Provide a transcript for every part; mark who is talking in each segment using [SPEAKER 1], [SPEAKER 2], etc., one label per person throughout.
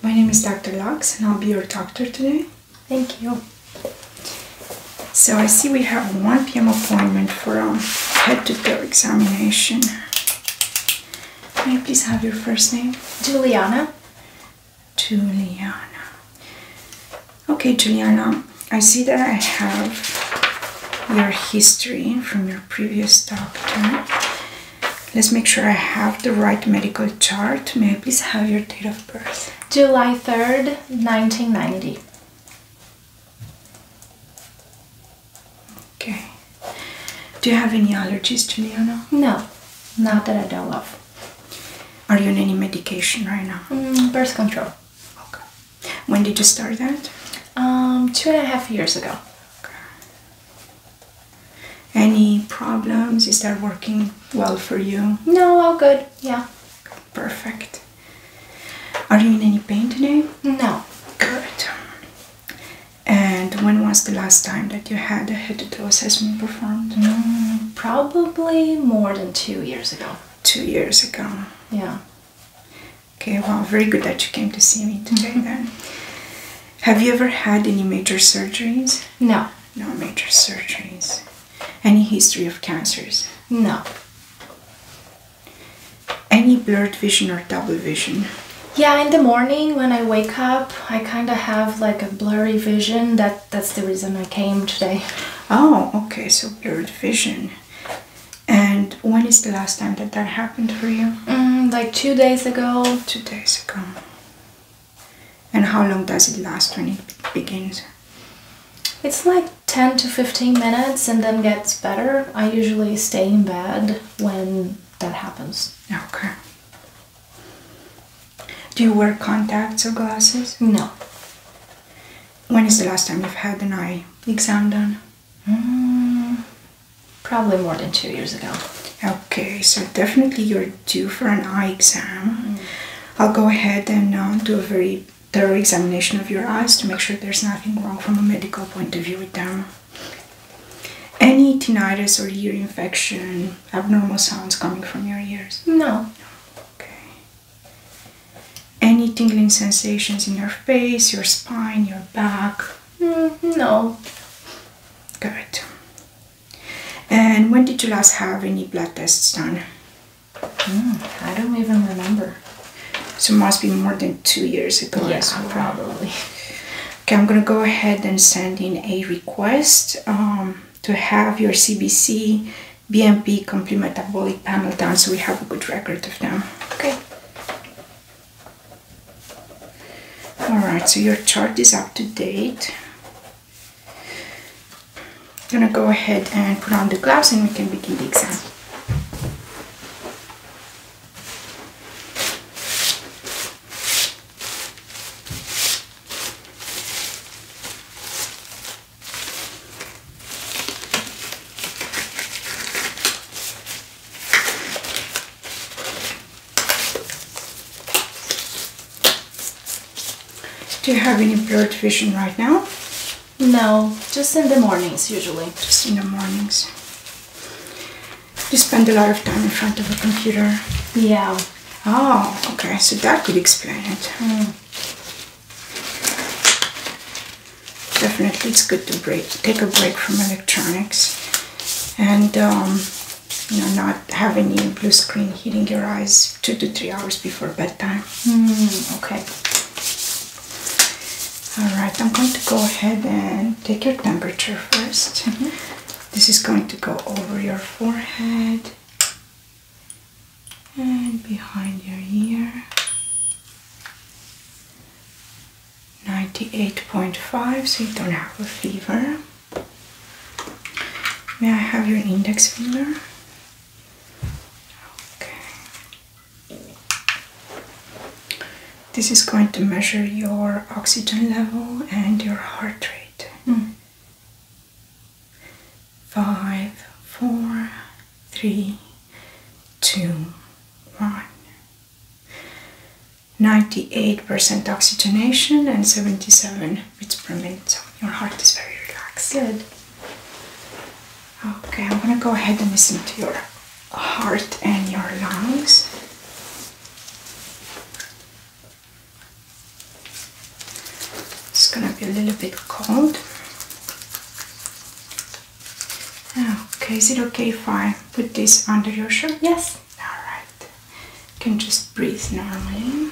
[SPEAKER 1] My name is Dr. Lux and I'll be your doctor today. Thank you. So I see we have a 1 p.m. appointment for a head-to-toe examination. May I please have your first name? Juliana. Juliana. Okay, Juliana, I see that I have your history from your previous doctor. Let's make sure I have the right medical chart. May I please have your date of birth? July 3rd, 1990. Okay. Do you have any allergies, Juliana? No, not that I don't love. Are you on any medication right now? Mm, birth control. Okay. When did you start that? Um, two and a half years ago. Okay. Any problems? Is that working well for you? No, all good. Yeah. Perfect. Are you in any pain today? No. Good. And when was the last time that you had a head assessment performed? Mm, probably more than two years ago. Two years ago. Yeah. Okay, well, very good that you came to see me today mm-hmm. then. Have you ever had any major surgeries? No. No major surgeries. Any history of cancers? No. Any blurred vision or double vision? Yeah, in the morning when I wake up, I kind of have like a blurry vision that that's the reason I came today. Oh, okay. So blurred vision. And when is the last time that that happened for you? Mm, like two days ago. Two days ago. And how long does it last when it begins? It's like 10 to 15 minutes and then gets better. I usually stay in bed when that happens. Okay. Do you wear contacts or glasses? No. When is the last time you've had an eye exam done? Mm, probably more than two years ago. Okay, so definitely you're due for an eye exam. Mm. I'll go ahead and uh, do a very thorough examination of your eyes to make sure there's nothing wrong from a medical point of view with them. Any tinnitus or ear infection, abnormal sounds coming from your ears? No. Okay. Any tingling sensations in your face, your spine, your back? Mm, no. Good. And when did you last have any blood tests done? Hmm, I don't even remember. So it must be more than two years ago. Yes, probably. Okay, I'm gonna go ahead and send in a request um, to have your CBC BMP, complete metabolic panel done, so we have a good record of them. Okay. Alright, so your chart is up to date. I'm gonna go ahead and put on the gloves and we can begin the exam. Do you have any blurred vision right now? No, just in the mornings usually. Just in the mornings. You spend a lot of time in front of a computer. Yeah. Oh, okay, so that could explain it. Hmm. Definitely it's good to break, take a break from electronics and um, you know, not have any blue screen hitting your eyes two to three hours before bedtime. Hmm, okay. All right, I'm going to go ahead and take your temperature 1st mm-hmm. This is going to go over your forehead, and behind your ear 98.5 so you don't have a fever may I have your index finger okay this is going to measure your oxygen level and your heart rate hmm five, four, three, two, one. 98% oxygenation and 77 beats per minute. your heart is very relaxed. Good. Okay, I'm gonna go ahead and listen to your heart and your lungs. It's gonna be a little bit cold. Okay, is it okay if I put this under your shirt? Yes. Alright. can just breathe normally.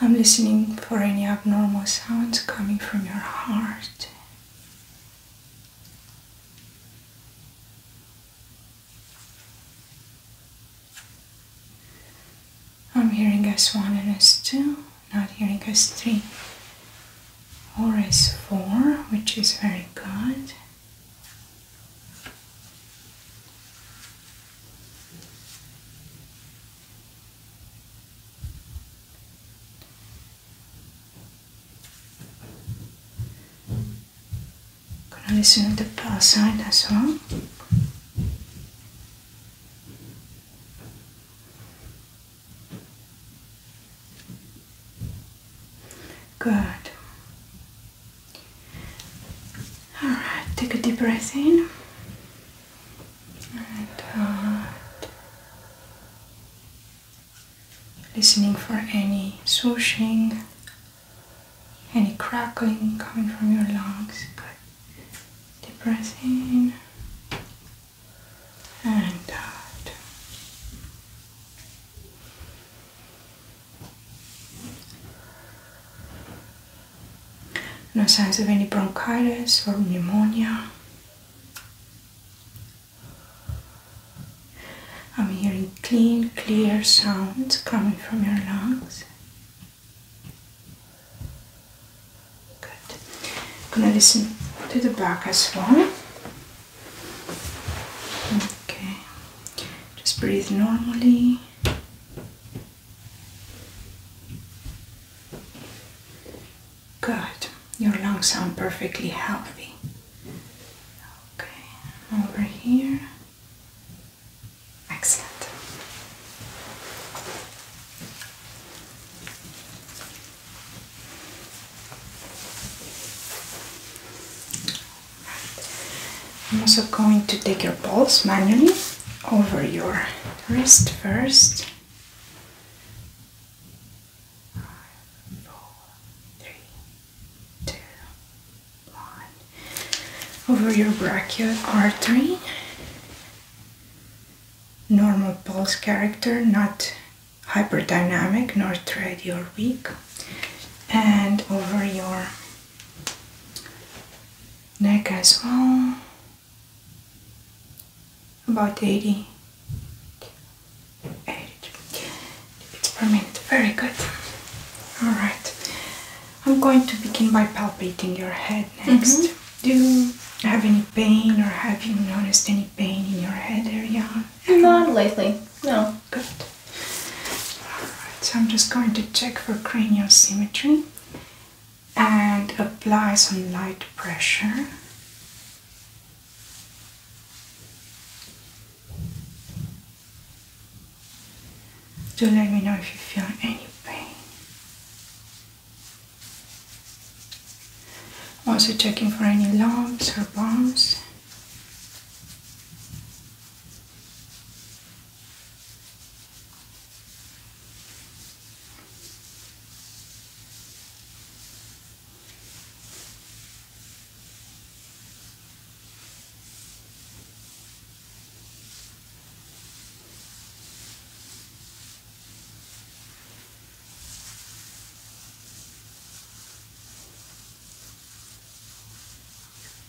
[SPEAKER 1] I'm listening for any abnormal sounds coming from your heart. I'm hearing S1 and S2, not hearing S3 or S4, which is very good gonna listen to the power side as well. Good. Alright, take a deep breath in and uh, Listening for any swooshing any crackling coming from your lungs. Good. Deep breath in and out. Uh, no signs of any bronchitis or pneumonia. I'm hearing clean, clear sounds coming from your lungs. Good. I'm gonna listen to the back as well. Okay. Just breathe normally. Good. Your lungs sound perfectly healthy. Okay. Over here. Excellent. I'm also going to take your pulse manually over your wrist first. Five, over your brachial artery. Normal pulse character, not hyperdynamic, nor thready or weak. And over your neck as well, about 80, 80 beats per minute. Very good. All right. I'm going to begin by palpating your head next. Mm-hmm. Do you have any pain or have you noticed any pain in your head area? Not lately, no. Good. Alright, so I'm just going to check for cranial symmetry and apply some light pressure. Do let me know if you feel any pain. Also checking for any lumps or bumps.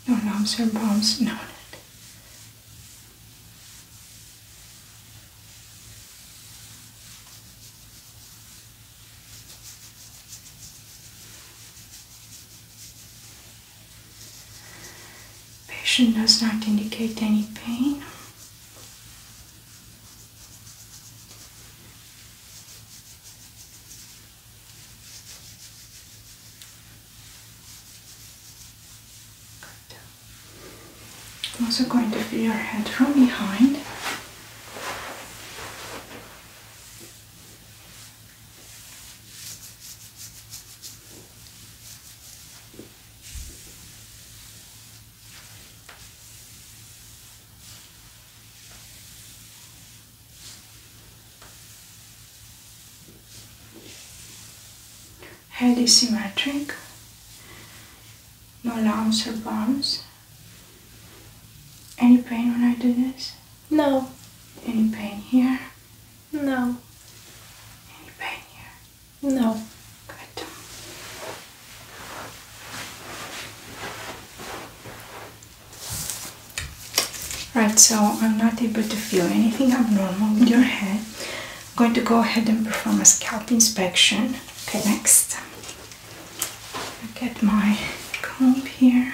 [SPEAKER 1] No I'm lumps or bumps noted. Patient does not indicate any pain. I'm also going to feel your head from behind. Head is symmetric, no lumps or bumps. Any pain when I do this? No. Any pain here? No. Any pain here? No. Good. Right, so I'm not able to feel anything abnormal with your head. I'm going to go ahead and perform a scalp inspection. Okay, next. get my comb here.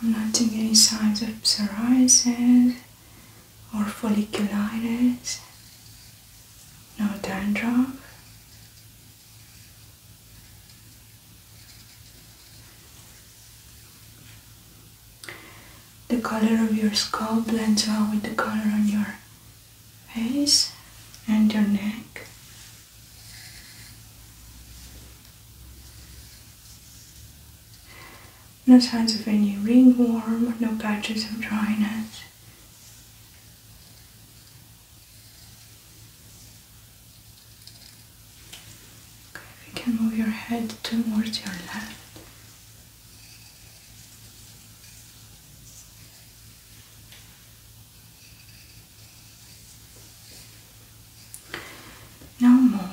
[SPEAKER 1] I'm noting any signs of psoriasis or folliculitis, no dandruff. The color of your scalp blends well with the color on your face and your neck. No signs of any ringworm, no patches of dryness. Okay, we can move your head towards your left. No more.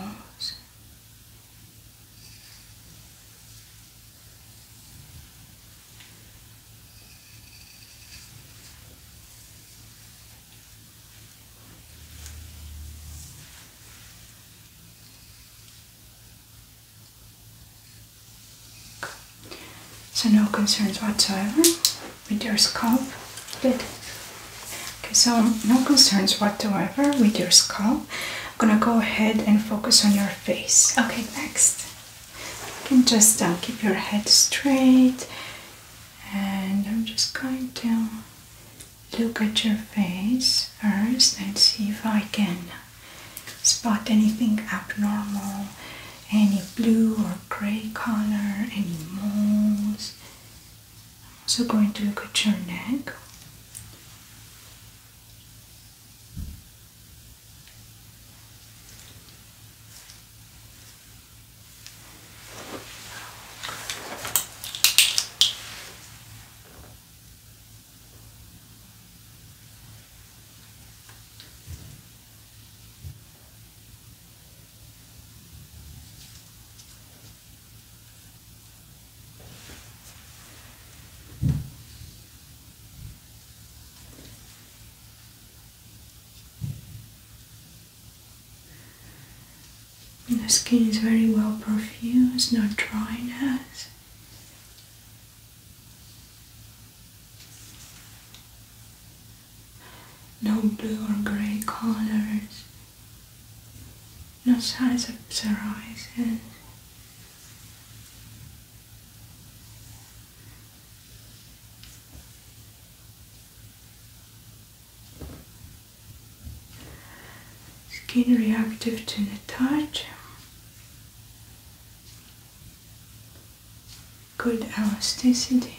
[SPEAKER 1] So no concerns whatsoever with your scalp. Good. Okay, so no concerns whatsoever with your scalp. I'm gonna go ahead and focus on your face. Okay, next. You can just uh, keep your head straight, and I'm just going to look at your face first and see if I can spot anything abnormal, any blue or gray color, any moles. I'm also going to look at your neck. The skin is very well perfused, not dry as no blue or grey colors, no signs of psoriasis. Skin reactive to the touch, good elasticity.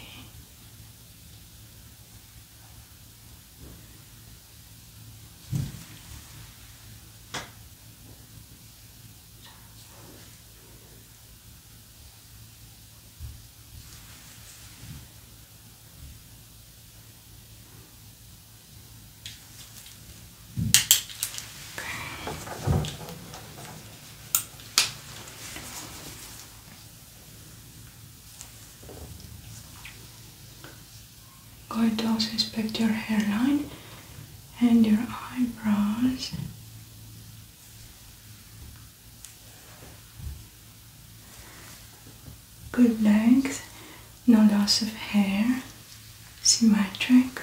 [SPEAKER 1] Okay. I'm going to also inspect your hairline and your eyebrows. Good length, no loss of hair, symmetric.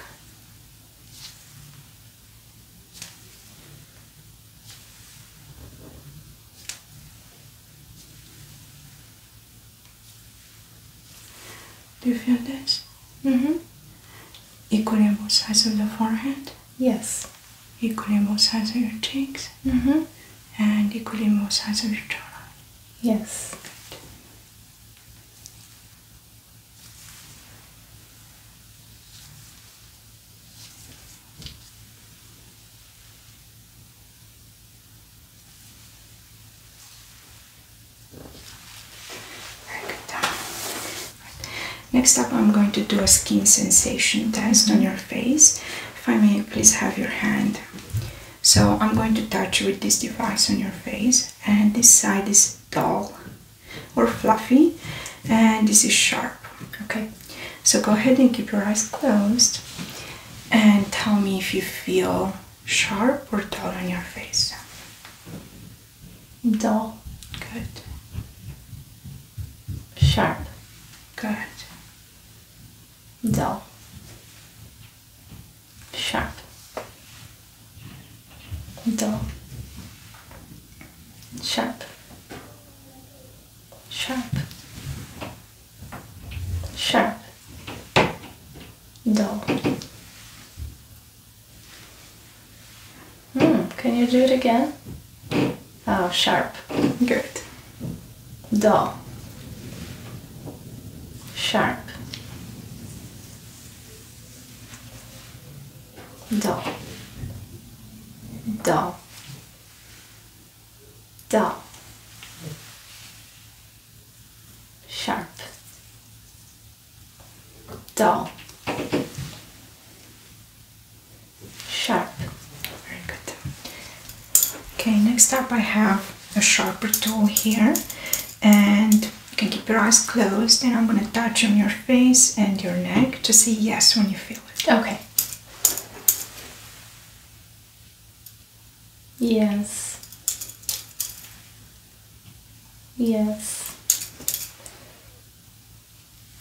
[SPEAKER 1] Do you feel this? Mm-hmm. Equally both sides of the forehead? Yes. Equally both sides of your cheeks? Mm-hmm. And equally both sides of your jaw? Yes. Very good Next up, I'm going to do a skin sensation test on your face. If I may, please have your hand. So, I'm going to touch with this device on your face, and this side is dull or fluffy and this is sharp okay so go ahead and keep your eyes closed and tell me if you feel sharp or dull on your face dull good sharp good dull sharp, dull, sharp, sharp, sharp, dull. Hmm, can you do it again? Oh, sharp. Good. Dull. Sharp. Dull, dull, dull, sharp, dull, sharp. Very good. Okay, next up I have a sharper tool here, and you can keep your eyes closed and I'm gonna touch on your face and your neck to say yes when you feel it. Okay. Yes. Yes.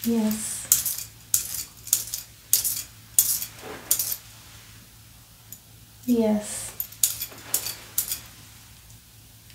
[SPEAKER 1] Yes. Yes.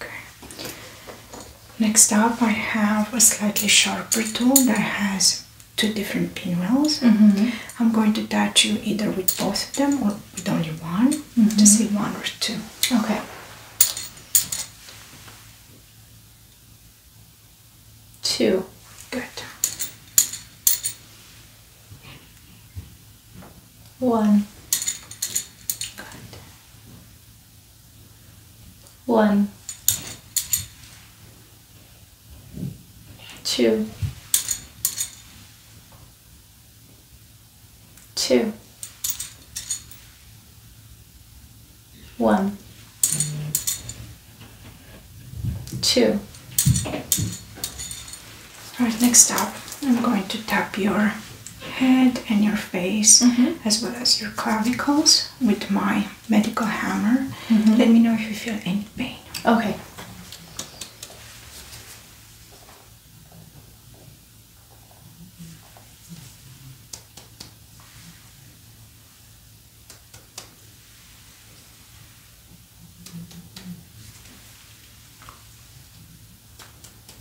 [SPEAKER 1] Okay. Next up, I have a slightly sharper tool that has two different pinwheels. Mm-hmm. I'm going to touch you either with both of them or with only one, mm-hmm. Just -hmm. see one or two. Okay. Two. Good. One. Good. One, two, two, one, two. All right, next up, I'm going to tap your head and your face, mm-hmm. as well as your clavicles, with my medical hammer. Mm-hmm. Let me know if you feel any pain. Okay.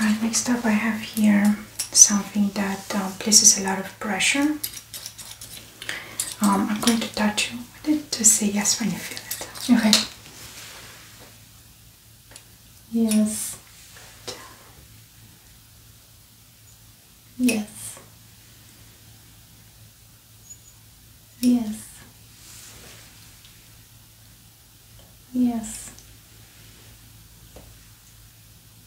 [SPEAKER 1] Right, next up I have here something that um, places a lot of pressure um, I'm going to touch you to say yes when you feel it. Okay. Yes. Yes. Yes. Yes.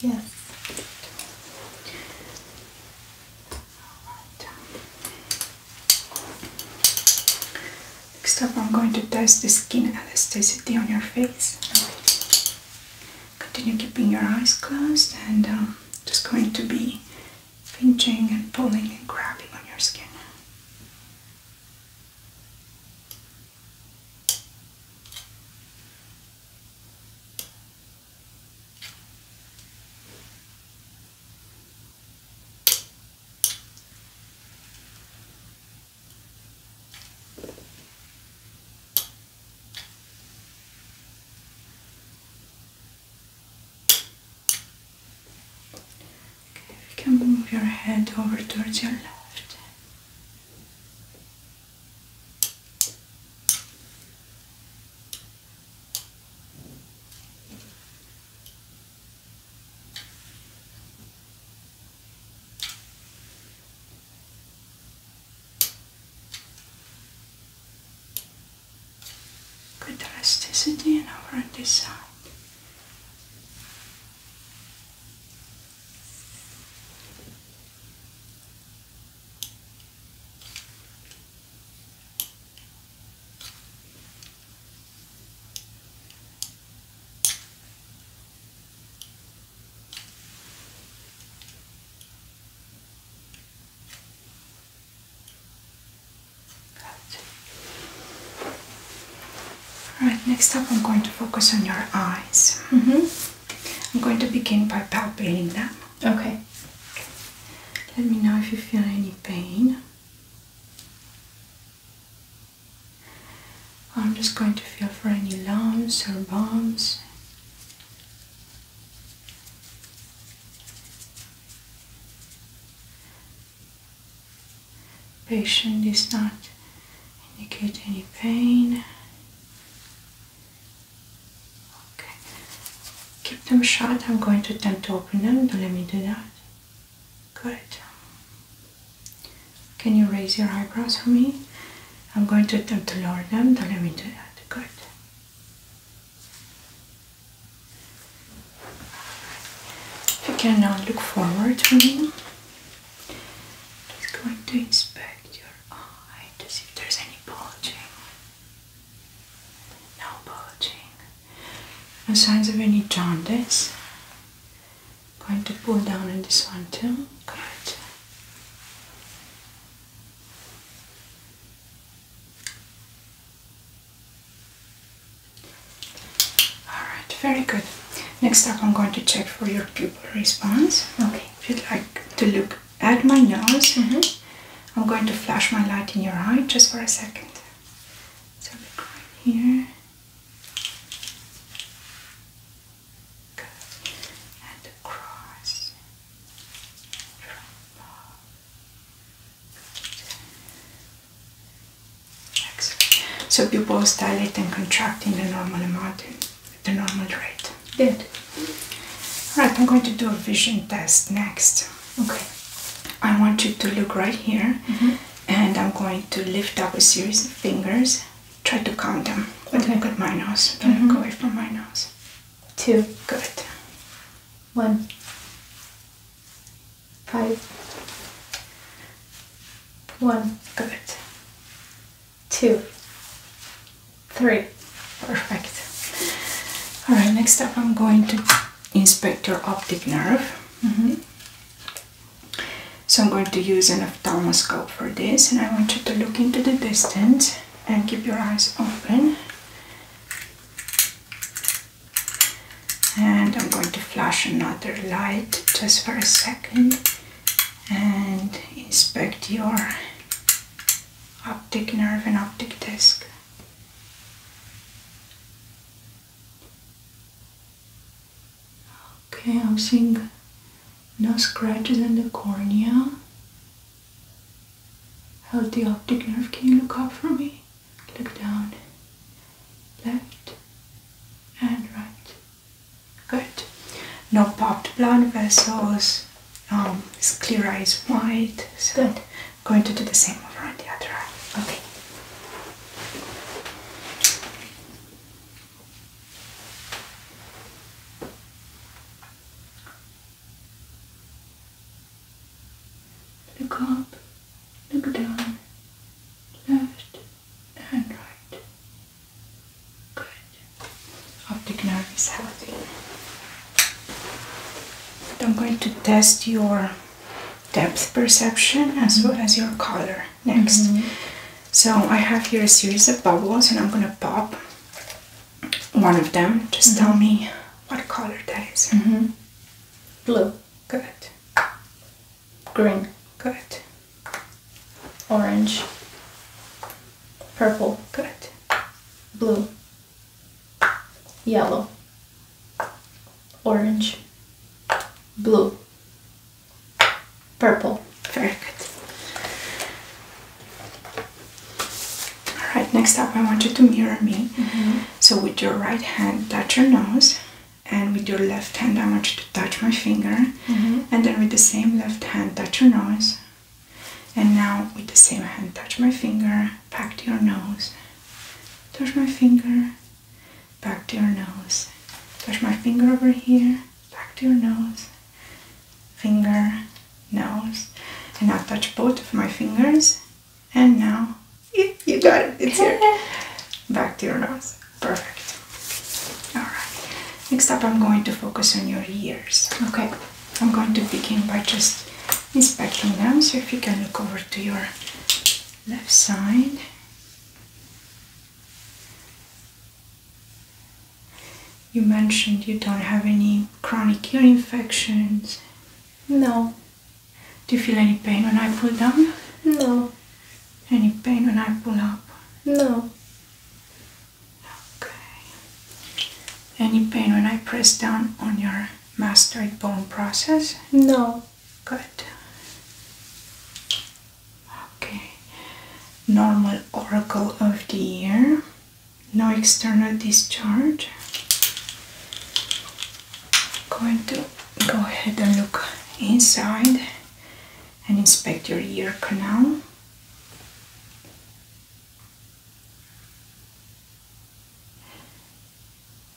[SPEAKER 1] Yes. Alright. Next up, I'm going to test the skin elasticity on your face. Continue keeping your eyes closed and um, just going to be pinching and pulling and grabbing on your skin. Okay, you can move your head over towards your left. Good elasticity and over on this side. Alright, next up I'm going to focus on your eyes. Mm-hmm. I'm going to begin by palpating them. Okay. Let me know if you feel any pain. I'm just going to feel for any lumps or bumps. Patient is not indicate any pain. Okay. Keep them shut. I'm going to attempt to open them. Don't let me do that. Good. Can you raise your eyebrows for me? I'm going to attempt to lower them. Don't let me do that. Good. you can now look forward for me. Just going to inspect your eye oh, just see if there's any bulging. No bulging. No signs of any jaundice. Going to pull down on this one too. Good. Alright, very good. Next up, I'm going to check for your pupil response. Okay, if you'd like to look at my nose. Mm-hmm. I'm going to flash my light in your eye just for a second. So look right here. Good. And across. So pupils dilate and contract in the normal amount the normal rate. Good. Right, I'm going to do a vision test next. Okay. I want you to look right here mm-hmm. and I'm going to lift up a series of fingers. Try to count them. But okay. look at my nose. Don't look mm-hmm. away from my nose. Two. Good. One, five, one, Good two, three. Perfect. All right, next up I'm going to inspect your optic nerve. Mm-hmm. So I'm going to use an ophthalmoscope for this and I want you to look into the distance and keep your eyes open. And I'm going to flash another light just for a second and inspect your optic nerve and optic disc. Okay, I'm seeing no scratches in the cornea. Healthy optic nerve, can you look up for me? Look down. Left and right. Good. No popped blood vessels. Um, sclera is white. Good. Going to do the same over on the other Okay. Look up, look down, left and right. Good. Optic nerve is healthy. I'm going to test your depth perception as well mm-hmm. as your color next. Mm-hmm. So I have here a series of bubbles and I'm going to pop one of them. Just mm-hmm. tell me what color that is. Blue. Good. Green. Good. Orange. Purple, correct. Blue. Yellow. Orange. Blue. Purple. Very good. Alright, next up I want you to mirror me. Mm-hmm. So with your right hand, touch your nose. And with your left hand, I want you to touch my finger. Mm-hmm. And then with the same left hand, touch your nose. And now, with the same hand, touch my finger, back to your nose, touch my finger, back to your nose, touch my finger over here, back to your nose, finger, nose. And now touch both of my fingers, and now you, you got it, it's here. Back to your nose. Perfect. Alright. Next up, I'm going to focus on your ears. Okay. I'm going to begin by just inspecting them. So if you can look over to your left side. You mentioned you don't have any chronic ear infections. No. Do you feel any pain when I pull down? No. Any pain when I pull up? No. Okay. Any pain when I press down on your mastoid bone process? No. Good. Okay. Normal oracle of the ear. No external discharge. I'm going to go ahead and look inside and inspect your ear canal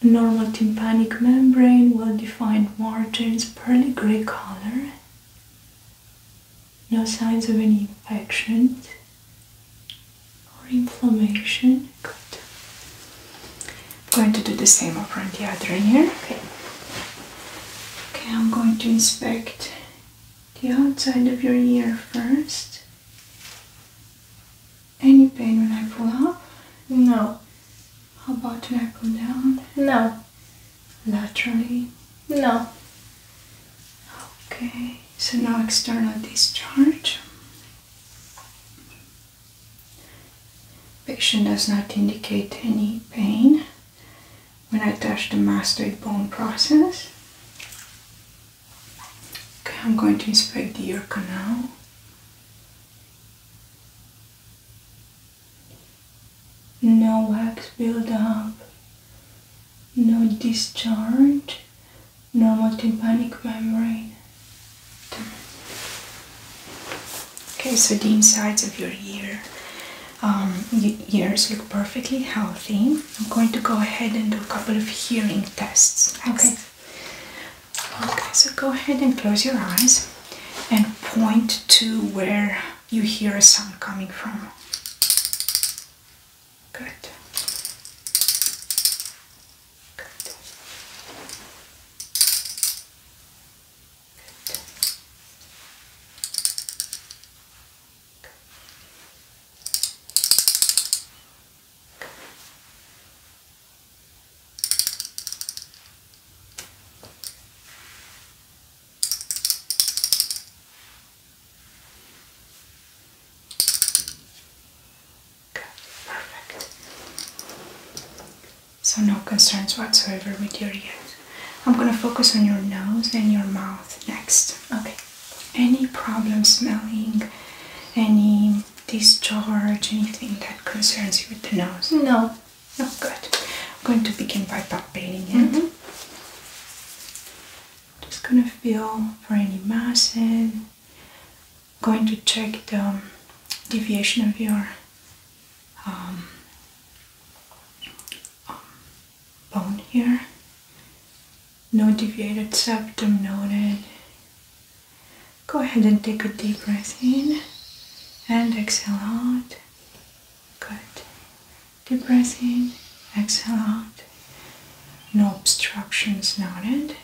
[SPEAKER 1] normal tympanic membrane, well defined margins, pearly grey color, no signs of any infection or inflammation. Good. I'm going to do the same up on the other ear. Okay. Okay, I'm going to inspect the outside of your ear first. Any pain when I pull up? No. How about when I pull down? No. Laterally? No. Okay, so now external discharge. Patient does not indicate any pain when I touch the mastoid bone process. Okay, I'm going to inspect the ear canal. No wax buildup, no discharge, normal tympanic membrane. Okay, so the insides of your ear, um, your ears look perfectly healthy. I'm going to go ahead and do a couple of hearing tests. Okay. Okay, so go ahead and close your eyes and point to where you hear a sound coming from. Good. Good. Good. Perfect. So no concerns whatsoever with your ears. I'm gonna focus on your nose and your mouth next. Okay any problem smelling, any discharge, anything that concerns you with the nose? No. No, good. I'm going to begin by palpating it. Mm-hmm. Just gonna feel for any masses. Going to check the deviation of your um, um, bone here. No deviated septum noted. Go ahead and take a deep breath in and exhale out. Good. Deep breath in, exhale out. No obstructions noted.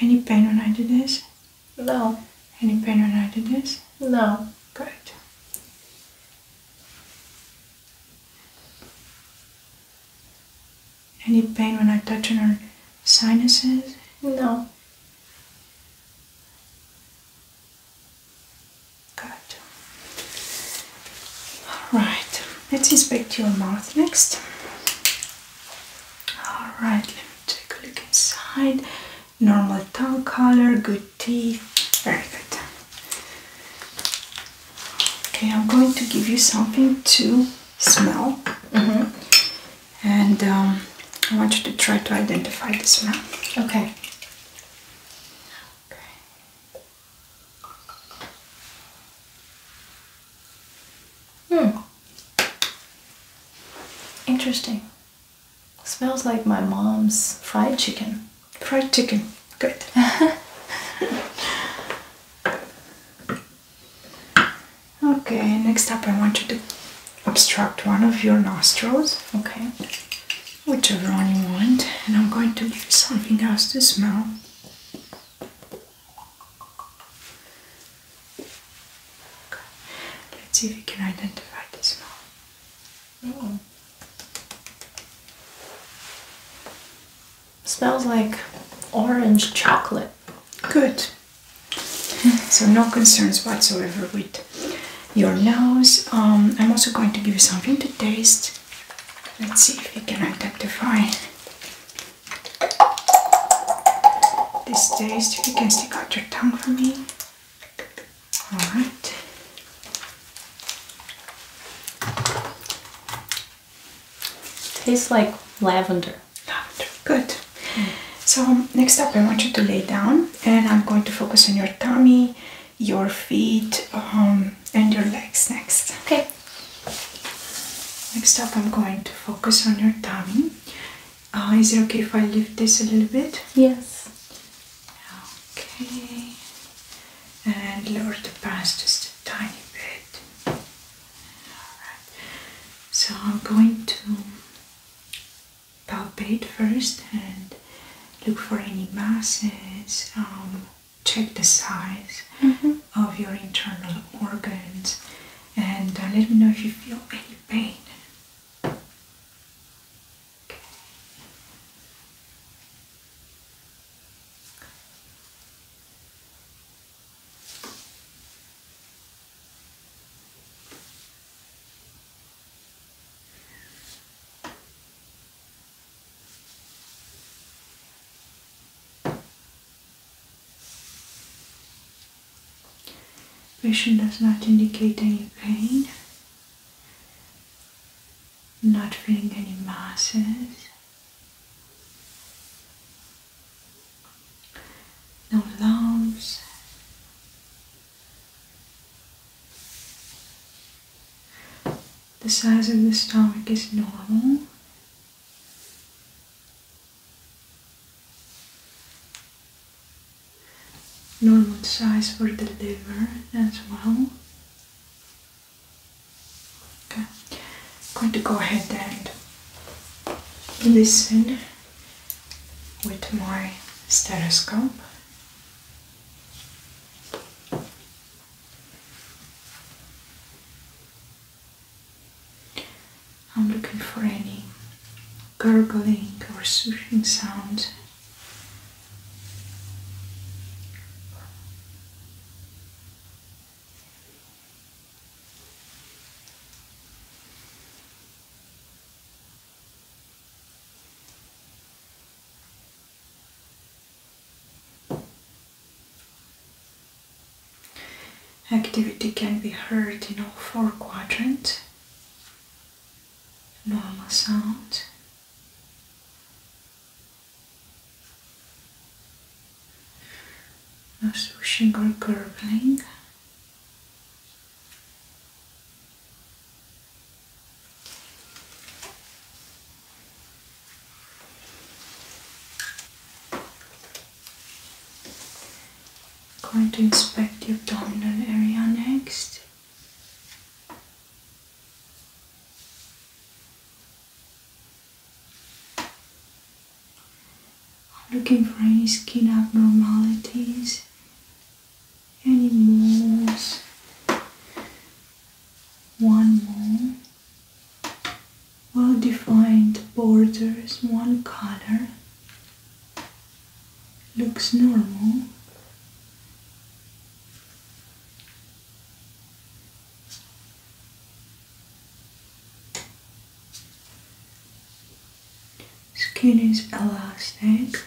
[SPEAKER 1] Any pain when I did this? No. Any pain when I did this? No. Good. Any pain when I touch on her sinuses? No. Good. Alright, let's inspect your mouth next. Alright, let me take a look inside. Normal tongue color, good your Very good. Okay, I'm going to give you something to smell. Mm-hmm. And um, I want you to try to identify the smell. Okay. Okay. Hmm. Interesting. Smells like my mom's fried chicken. Fried chicken. Good. okay, next up I want you to obstruct one of your nostrils. Okay. Whichever one you want. And I'm going to give something else to smell. Okay. Let's see if you can identify the smell. Smells like orange chocolate. Good. so no concerns whatsoever with your nose. Um, I'm also going to give you something to taste. Let's see if you can identify this taste. If you can stick out your tongue for me. Alright. Tastes like lavender. Lavender, good. So, next up, I want you to lay down, and I'm going to focus on your tummy, your feet, um, and your legs next. Okay. Next up, I'm going to focus on your tummy. Uh, is it okay if I lift this a little bit? Yes. Okay, and lower the past just a tiny bit. Alright, so I'm going to palpate first and look for any masses, um, check the size mm-hmm. of your internal organs, and uh, let me know if you feel any pain. Patient does not indicate any pain not feeling any masses. No lumps. The size of the stomach is normal. Normal size for the liver as well. I'm going to go ahead and listen with my stethoscope. I'm looking for any gurgling or swooshing sound Activity can be heard in all four quadrants. Normal sound no swishing or curling. Going to inspect your abdominal area next looking for any skin abnormalities, any moles, one mole, well defined borders, one color, looks normal. Skin is elastic.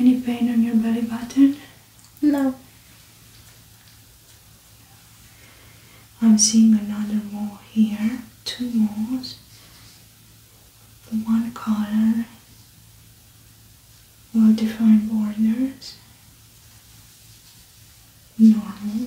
[SPEAKER 1] Any pain on your belly button? No. I'm seeing another mole here, two moles. one color well-defined borders, normal,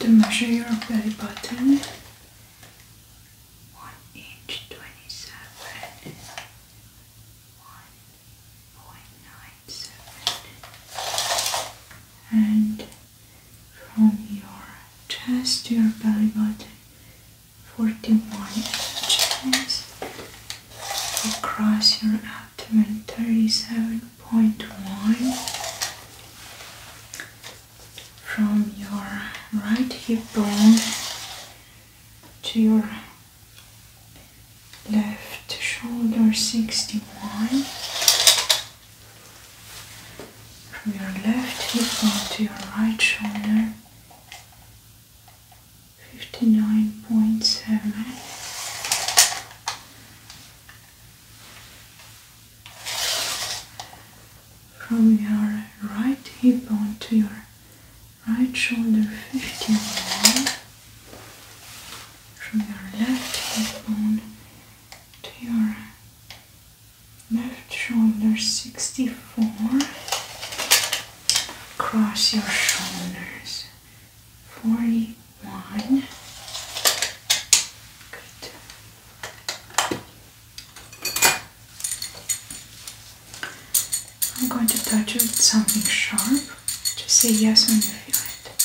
[SPEAKER 1] I'm going to measure your belly button. One inch twenty seven one point nine seven and from your chest to your belly button. 41 inches across your abdomen 37.1 from your right hip bone to your left shoulder 61 from your left hip bone to your right shoulder 59.7 from your right hip bone to your right shoulder 51 from your left hip bone to your left shoulder 64 cross your shoulders 41 good I'm going to touch you with something sharp just say yes when you feel it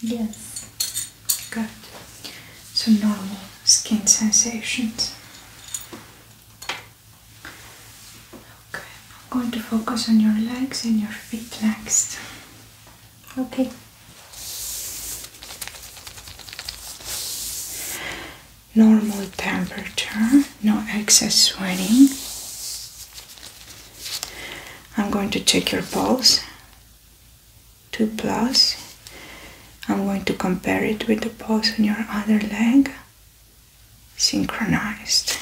[SPEAKER 1] Yes. Good. So normal skin sensations. Okay, I'm going to focus on your legs and your feet next. Okay. Normal temperature, no excess sweating. I'm going to check your pulse. 2 plus. I'm going to compare it with the pulse on your other leg. Synchronized.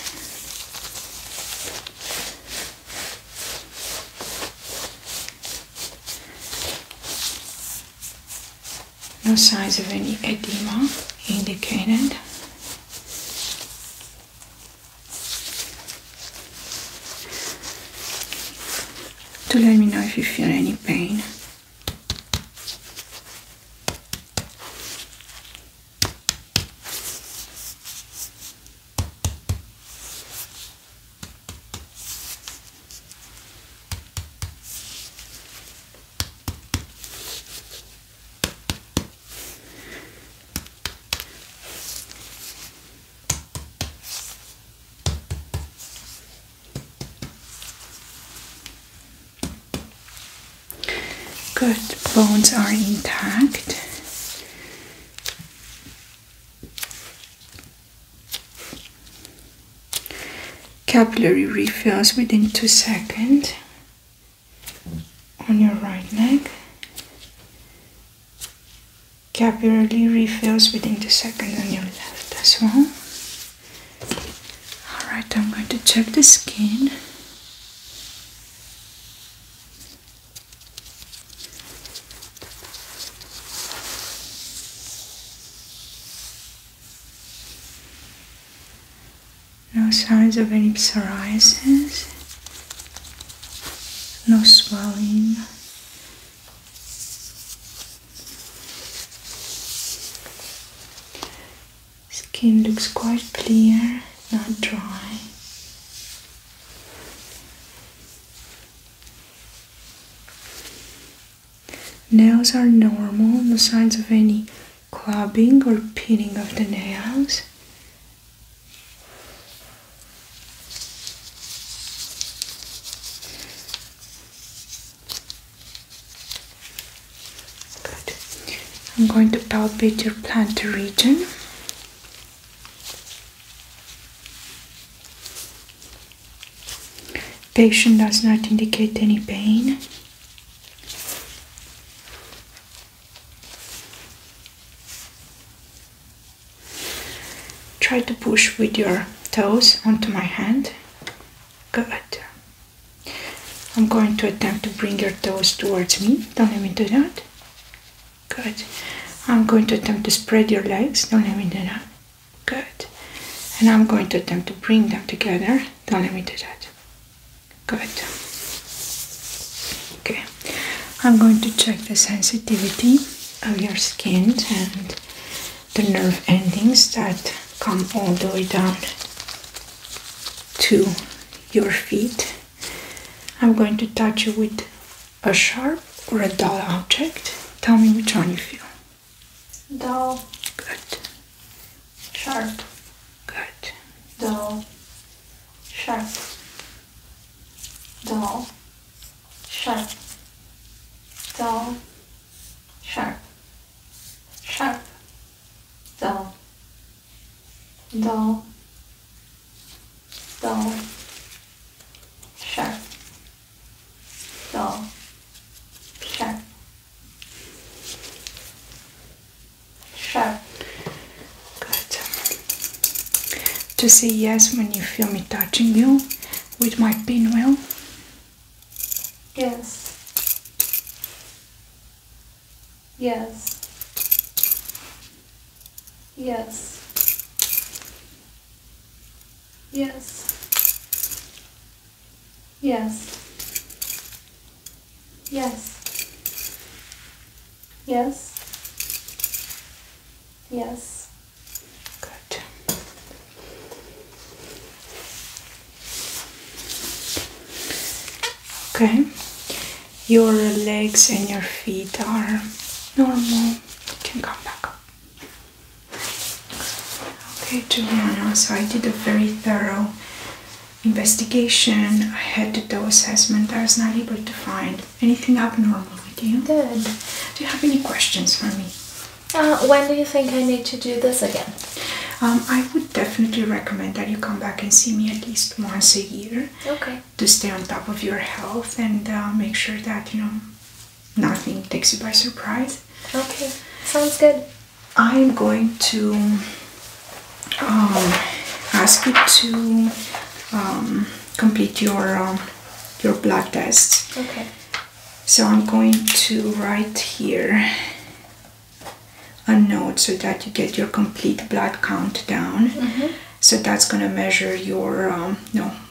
[SPEAKER 1] No signs of any edema indicated to let me know if you feel any pain. Good, bones are intact. Capillary refills within two seconds on your right leg capillary refills within the second on your left as well. Alright, I'm going to check the skin. No signs of any psoriasis, no swelling, Skin looks quite clear, not dry. Nails are normal, no signs of any clubbing or pinning of the nails. Good. I'm going to palpate your plantar region. Patient does not indicate any pain. Try to push with your toes onto my hand. Good. I'm going to attempt to bring your toes towards me. Don't let me do that. Good. I'm going to attempt to spread your legs. Don't let me do that. Good. And I'm going to attempt to bring them together. Don't let me do that. Good. Okay. I'm going to check the sensitivity of your skin and the nerve endings that come all the way down to your feet. I'm going to touch you with a sharp or a dull object. Tell me which one you feel. Dull. Good. Sharp. Good. Dull. Sharp dull, sharp, dull, sharp, sharp, dull, dull, dull, sharp, dull, sharp, sharp. Good. To say yes when you feel me touching you with my pinwheel? Yes. Yes. Yes. Yes. Yes. Yes. Yes. Yes. Good. Okay. Your legs and your feet are normal. You can come back up. Okay, Juliana, so I did a very thorough investigation. I had to do assessment. I was not able to find Good. Anything abnormal with you? Good. Do you have any questions for me? Uh, when do you think I need to do this again? Um, I would definitely recommend that you come back and see me at least once a year. Okay. To stay on top of your health and uh, make sure that you know nothing takes you by surprise. Okay. Sounds good. I'm going to um, ask you to um, complete your your blood tests. Okay. So I'm going to write here a note so that you get your complete blood count down. Mm-hmm. So that's going to measure your um,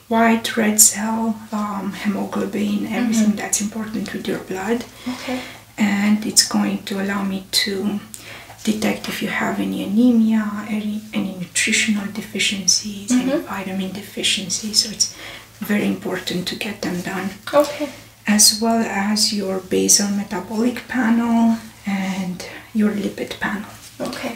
[SPEAKER 1] white, red cell, um, hemoglobin, mm-hmm. everything that's important with your blood. Okay. And it's going to allow me to detect if you have any anemia, any, any nutritional deficiencies, mm vitamin deficiencies. So it's very important to get them done. As well as your basal metabolic panel and your lipid panel. Okay.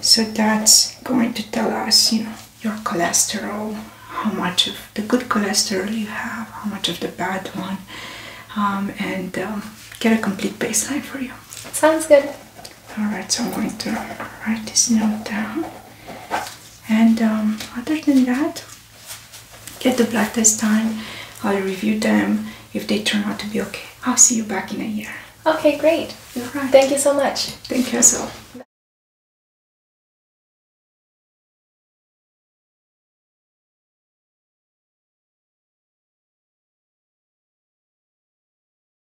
[SPEAKER 1] So that's going to tell us, you know, your cholesterol, how much of the good cholesterol you have, how much of the bad one, um, and um, get a complete baseline for you. Sounds good. Alright, so I'm going to write this note down. And um, other than that, get the blood test time. I'll review them. If they turn out to be okay, I'll see you back in a year. Okay, great. Right. Thank you so much. Thank you so.